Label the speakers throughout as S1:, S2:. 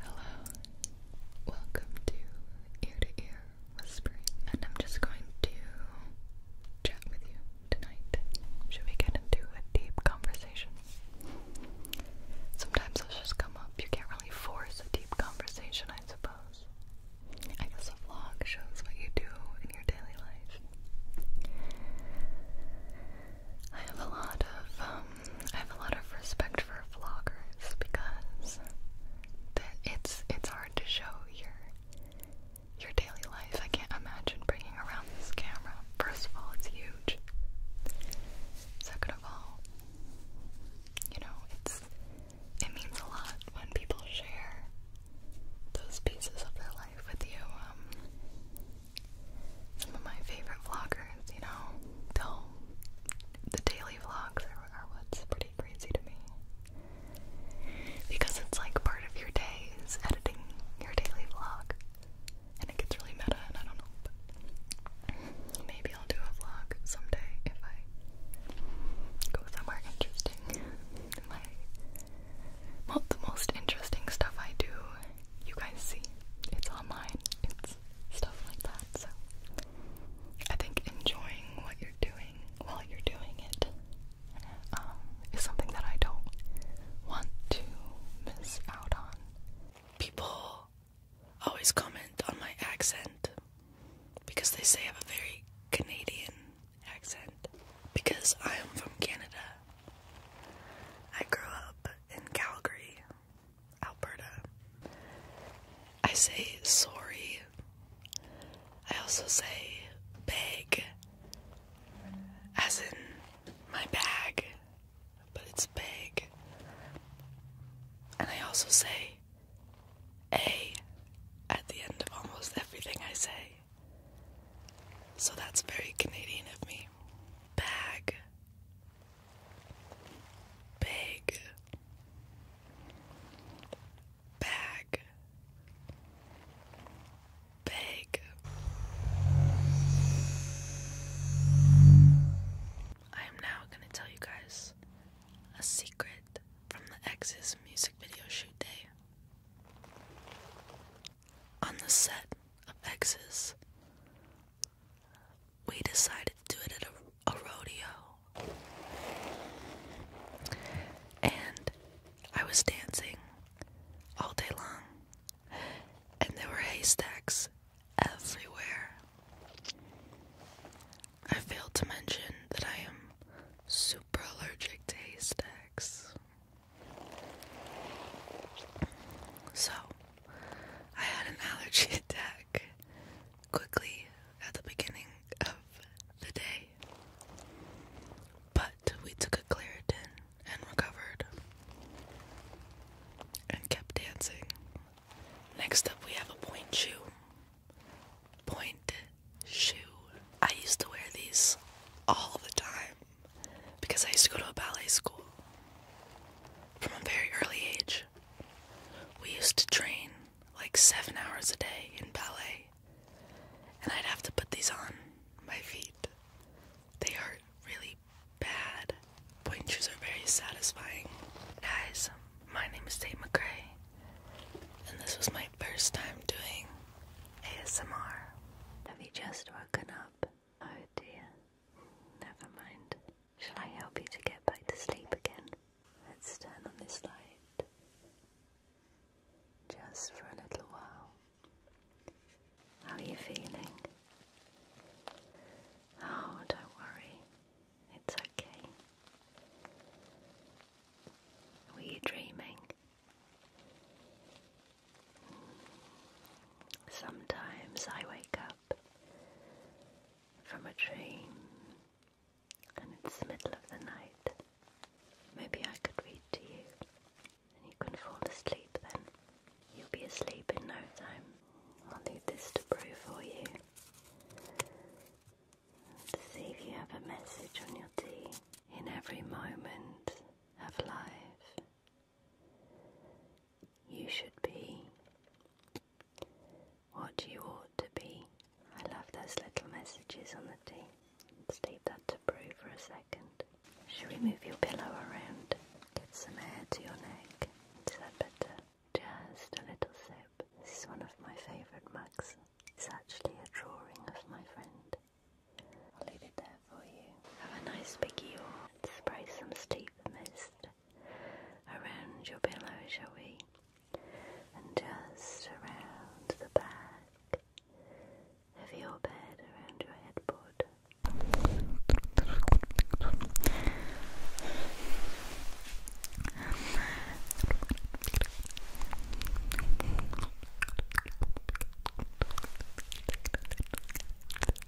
S1: Hello, welcome to Ear to Ear Whispering, and I'm just going to chat with you tonight. Should we get into a deep conversation? Sometimes those just come up. You can't really force a deep conversation, I suppose. I guess a vlog shows what you do in your daily life. I have a lot of um, I have a lot of respect for vloggers because it's it's hard to show your your daily life. I can't imagine bringing around this camera. First of all, it's huge. Second of all, you know, it's it means a lot when people share those pieces of their life with you. Um, some of my favorite vloggers, you know, though the daily vlogs are, what's pretty crazy to me. Because it's like part of your day is editing your daily vlog. And it gets really meta, and I don't know. maybe I'll do a vlog someday if I go somewhere interesting. My well, the most interesting stuff I do, you guys see. It's online. It's stuff like that. So I think enjoying what you're doing while you're doing it
S2: um, something that I don't want to miss out on. People always comment on my accent because they say I have a very Canadian accent because I am from Canada. I grew up in Calgary Alberta. I say sorry. I also say bag, as in my bag, but it's big. And I also say a at the end of almost everything I say. So that's very Canadian of me. Bag big bag big I am now going to tell you guys a secret from the X's music video shoot day on the set of X's we decided to do it at a, rodeo. And I was dancing all day long, and there were haystacks everywhere. I failed to mention that I am super allergic to haystacks. So, I had an allergy attack quickly at the beginning of the day. But we took a Claritin and recovered and kept dancing. Next up, we have a point shoe. Point shoe. I used to wear these all the time because I used to go to a ballet school from a very early age, we used to train like seven hours a day in ballet, and I'd have to put these on my feet. They hurt really bad. Point shoes are very satisfying. Guys, my name is Tate McRae, and this was my first time doing ASMR. Have you just
S1: woken up? Oh dear. Never mind. Shall I help you to get back to sleep again?
S2: Let's turn on this light. Just for a little while. How are you feeling? Oh, don't worry. It's okay.
S3: Were you dreaming? Sometimes I wake up from a train, and it's the middle of the night.
S1: Maybe I could read to you and you can fall asleep then. You'll be asleep in no time. I'll leave this to brew for you. To see if you have
S3: a message on your tea. In every moment of life, you should be what you ought to be. I love those little messages on the tea. Let's leave that to brew for a second. Should we move your pillow around? Get some air to your neck. Is that better? Just a little sip. This is one of my favourite mugs. It's actually a drawing of my friend. I'll leave it there have a nice big yawn spray some steep mist around your pillow, shall we? And just around the back of your bed, around your headboard.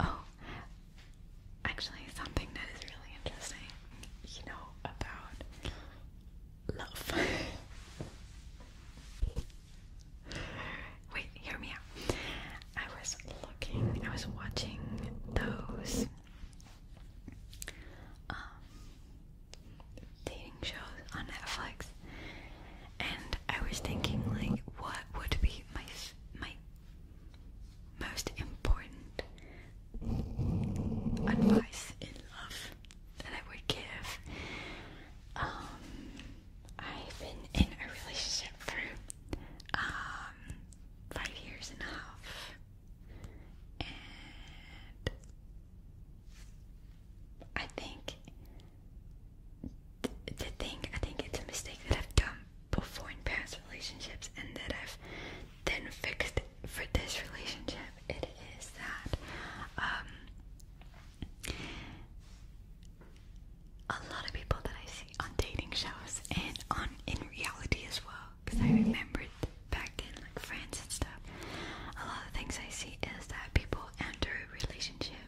S3: Oh, actually, something that is really interesting, you know, about love. Wait, hear me out. I was looking, I was watching those. Um, dating shows on Netflix, and I was thinking like, what would be my my most important advice in love that I would give? Um, I've been in a relationship for um five years and a half and I think the thing I think it's a mistake that I've done before in past relationships and that I've then fixed for this relationship. It is that um, a lot of people that I see on dating shows and on in reality as well, because I remembered back in like friends and stuff, a lot of things I see is that people enter a relationship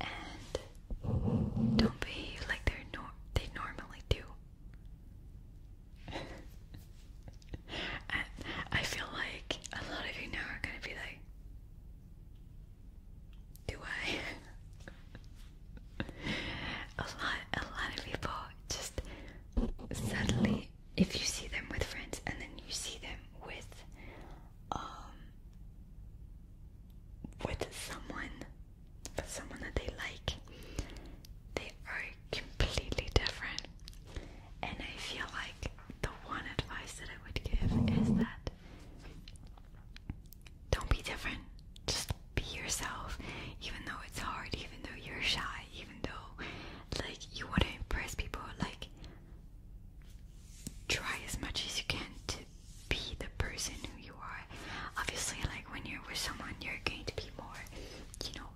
S3: and don't behave like they're nor they normally do. I feel like a lot of you now are gonna be like, do I? a lot, a lot of people just suddenly if you see them with friends and then you see them with um with someone someone that they like they are completely different and I feel like the one advice that I would
S4: give is that don't be different just be yourself even though it's hard even though you're
S3: shy even though like you want to impress people, like try as much as you can to be the person who you are. Obviously, like when you're with someone, you're going to be more, you know,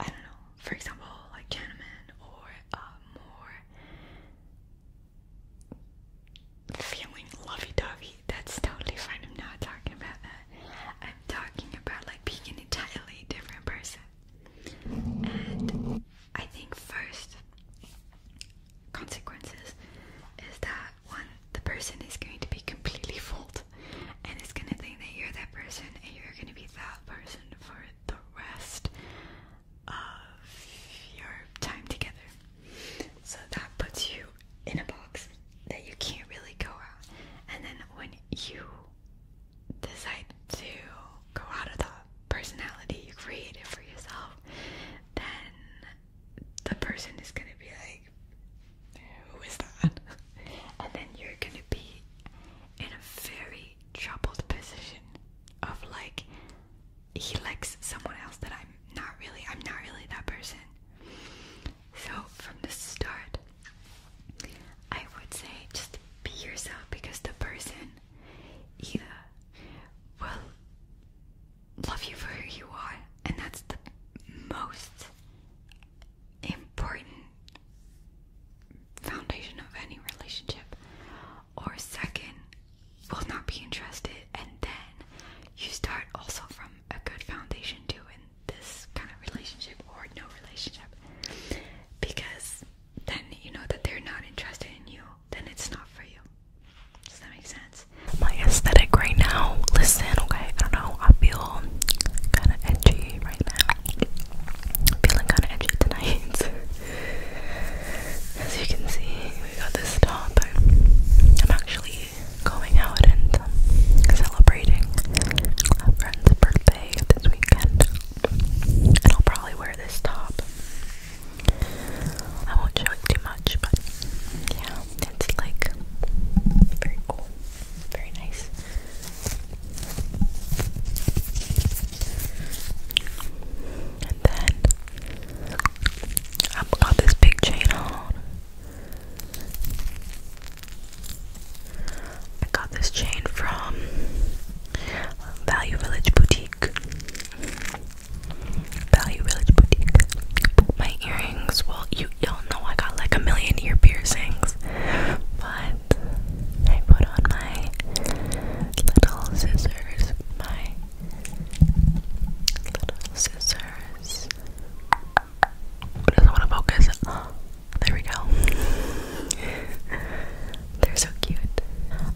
S3: I don't know, for example, like gentleman or uh, more feeling lovey dovey that's totally fine. I'm not talking about that. I'm talking about like being an entirely different person.
S4: And
S3: I think first consequences is that one the person is going to be completely fooled and is gonna think that you're that person and you're gonna be that person for the rest of your time together. So that puts you in a box that you can't really go out. And then when you decide to go out of the personality you created for yourself, then the person is gonna be like, Who is that? And then you're gonna be in a very troubled position of like, he likes someone else that I'm not really, I'm not really that person. So, from the start, I would say just be yourself because the person either will love you for who you are, and that's the most important foundation of any relationship, or second, will not be interested, and then you start also from a good foundation too, this kind of relationship or no relationship because then you know that
S5: they're not interested in you, then it's not for you. Does that make sense? My aesthetic right now, listen, okay, I don't know, I feel kind of edgy right now. feeling kind of edgy tonight. As you can see, we got this top. I'm actually going out and um, celebrating a friend's birthday this weekend. I'll probably wear this top. I won't show it too much, but yeah, it's like very cool, very nice. And then I've got this big chain on. I got this chain from Value Village Boutique. Value Village Boutique. My earrings, well, you y'all know I got like a million ear piercings, but I put on my little scissors, my little scissors. But doesn't want to focus. There we go. They're so cute.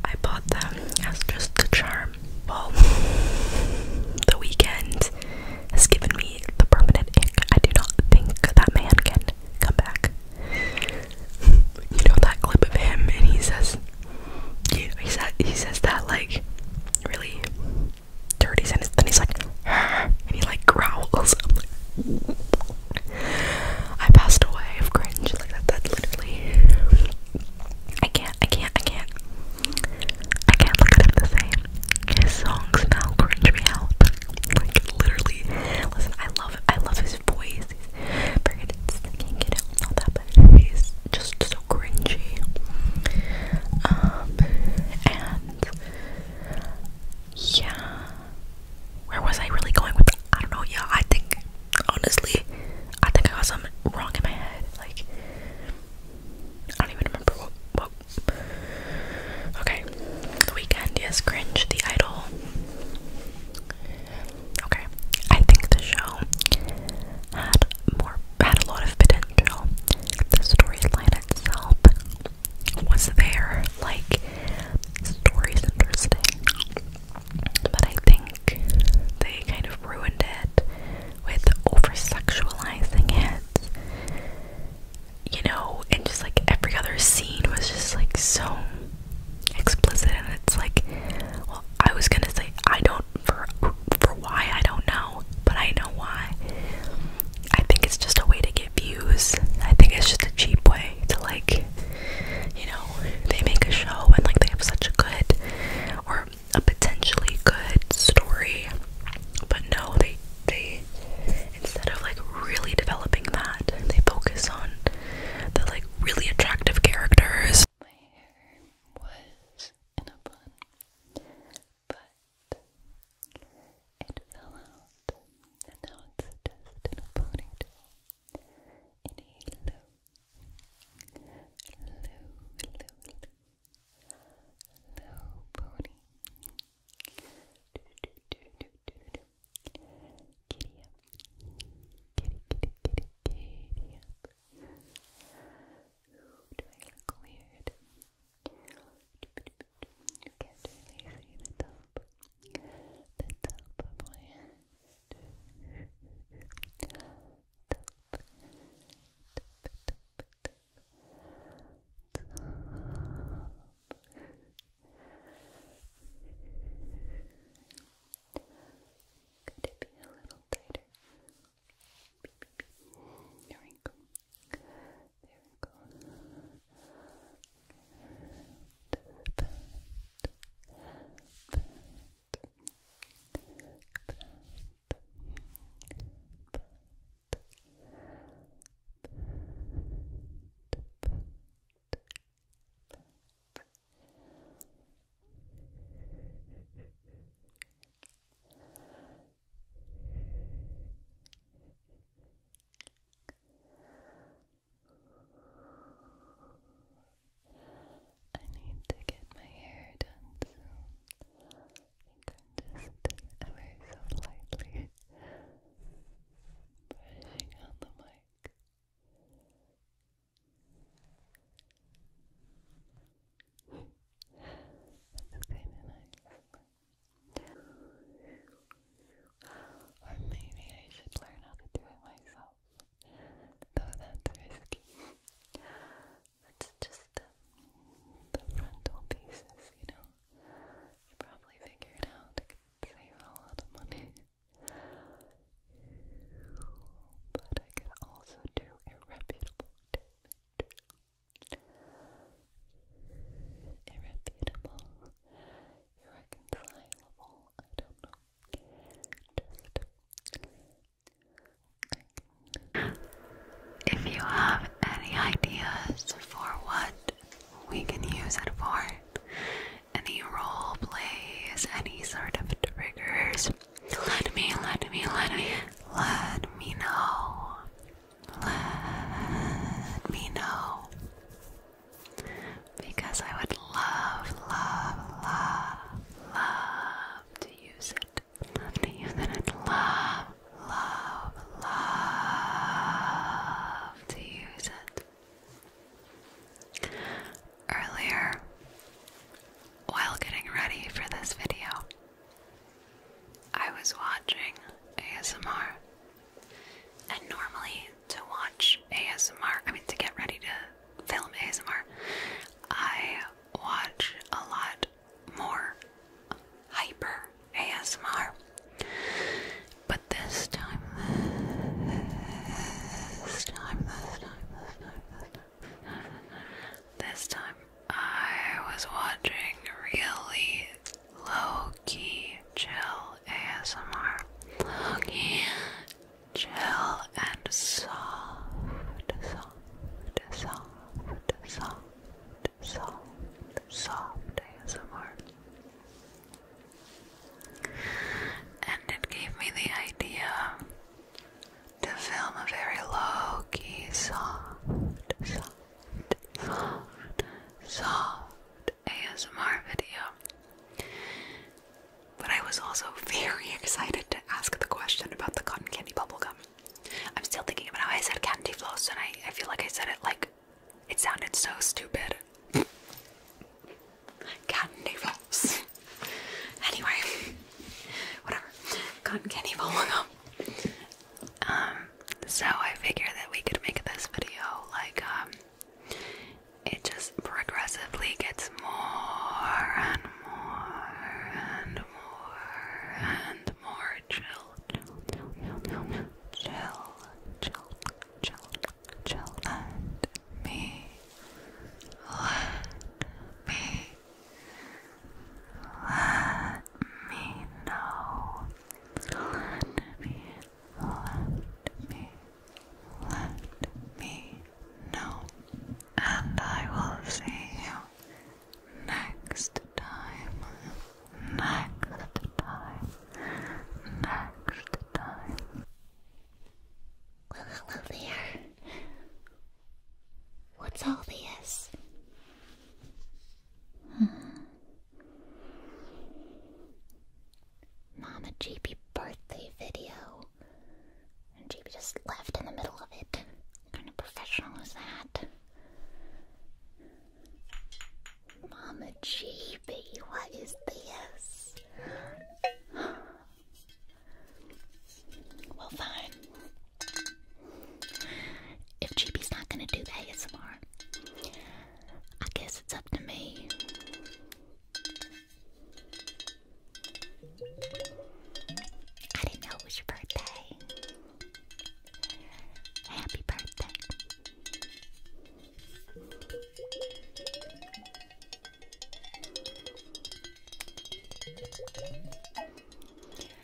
S5: I bought them as just the charm. Well, the weekend has given me the permanent ick. I do not think that man can come back. You know that clip of him, and he says, he says, he says that like really dirty sentence. he's like, and he like growls. i passed away of cringe. Like that. literally. I can't. I can't. I can't. I can't look at him the same. His songs now cringe me out. Like literally. Listen, I love. I love his voice. He's very. I can't that bad. He's just so cringy. Um, and yeah. Where was I really going with that? I don't know. Yeah, I think honestly, I think I got something wrong in my head. Like I don't even remember what Okay. The weekend, yes, cringe, the idol. Okay. I think the show had more had a lot of potential. The storyline I itself was there. Like, story's interesting. But I think they kind of ruined it with over sexualizing it. You know, and just like every other scene was just like so explicit, and it's like, well, I was gonna say, I don't, for for why I don't know, but I know why. I think it's just a way to get views. I think it's just a cheap way to like, you know, they make a show and like they have such a good or a potentially good story, but no, they they instead of like really developing that, they focus on the like really attractive characters. My hair was in a bun but it fell out, and now it's just in a ponytail, in a low, low, low, low, low pony. Giddy up, giddy, giddy, giddy, giddy up. do I look weird? You can't really see the top, the top of my top. Could it be a little tighter? There we go. There we go. Good. Pat. Pat. Pat. Pat.
S1: Pat. I need to get my hair done I think I'm just so lightly brushing on the mic. That's Or maybe I should learn how to do it myself. Though that's risky. It's just the, uh, the frontal pieces, you know. You probably figured it could save a lot of money. But I could also do a reputable irrefutable, irreconcilable, I don't know. if you have any ideas for what we can use it for, any role plays, any sort of triggers, let me, let me, let me, let me know. Let me know. Because I would love, love, love, love to use it. Love to use it. I'd love, love, love to use it. Earlier, while getting ready for this video, I was watching ASMR, and normally to watch ASMR, I mean, to get ready to film ASMR, I watch a lot more hyper ASMR. But this time, this time, this time, this time, I was watching really low key chill ASMR. Low key chill and soft, soft, soft, soft, soft, soft ASMR. And it gave me the idea to film a very low key, soft, soft, soft, ASMR video. But I was also very excited to ask the question about the cotton candy bubblegum. I'm still thinking about how I said candy floss, and I feel like I said it like it sounded so stupid. candy floss. anyway, whatever. Cotton candy bubblegum. Um, so I figured that we could make this video like um it just progressively gets more and more and more and more chill, chill, chill, chill, chill, chill, chill, chill, and me, let me let me know. Let me, let me, let me know. And I will see you next time. Next time. Next
S4: time. Well, hello What's all this? Hmm. Mama GB birthday video. And GB just left in the middle of it. What professional is that? Mama GB, what is this? Well, fine. If GB's not gonna do ASMR, I guess it's up to me. I didn't know it was your birthday. Happy birthday.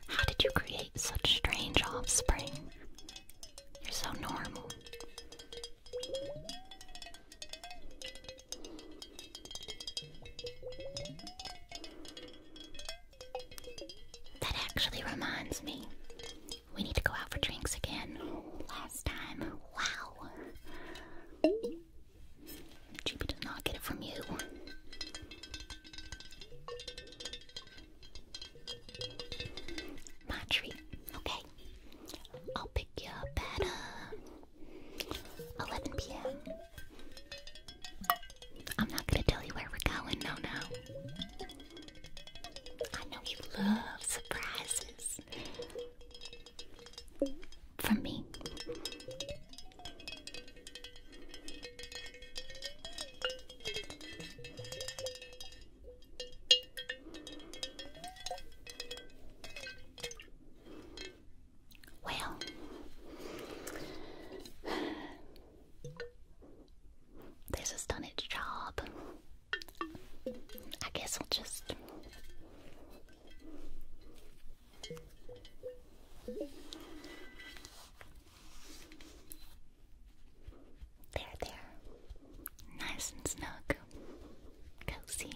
S4: How did you create such strange offspring? You're so normal. That actually reminds me. We need to go out for drinks again. Last time, wow. Chibi does not get it from you. My treat. Okay. I'll pick you up at uh, 11 p.m. I'm not gonna tell you where we're going, no, no. I know you love surprises from me. Well, this has done its job. I guess I'll just there, there. Nice and snug. Cozy.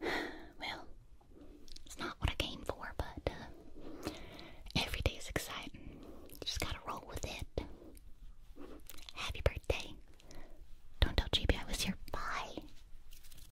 S4: Well, it's not what I came for, but uh, every day is exciting. just gotta roll with it. Happy birthday. Don't tell GB I was here. Bye.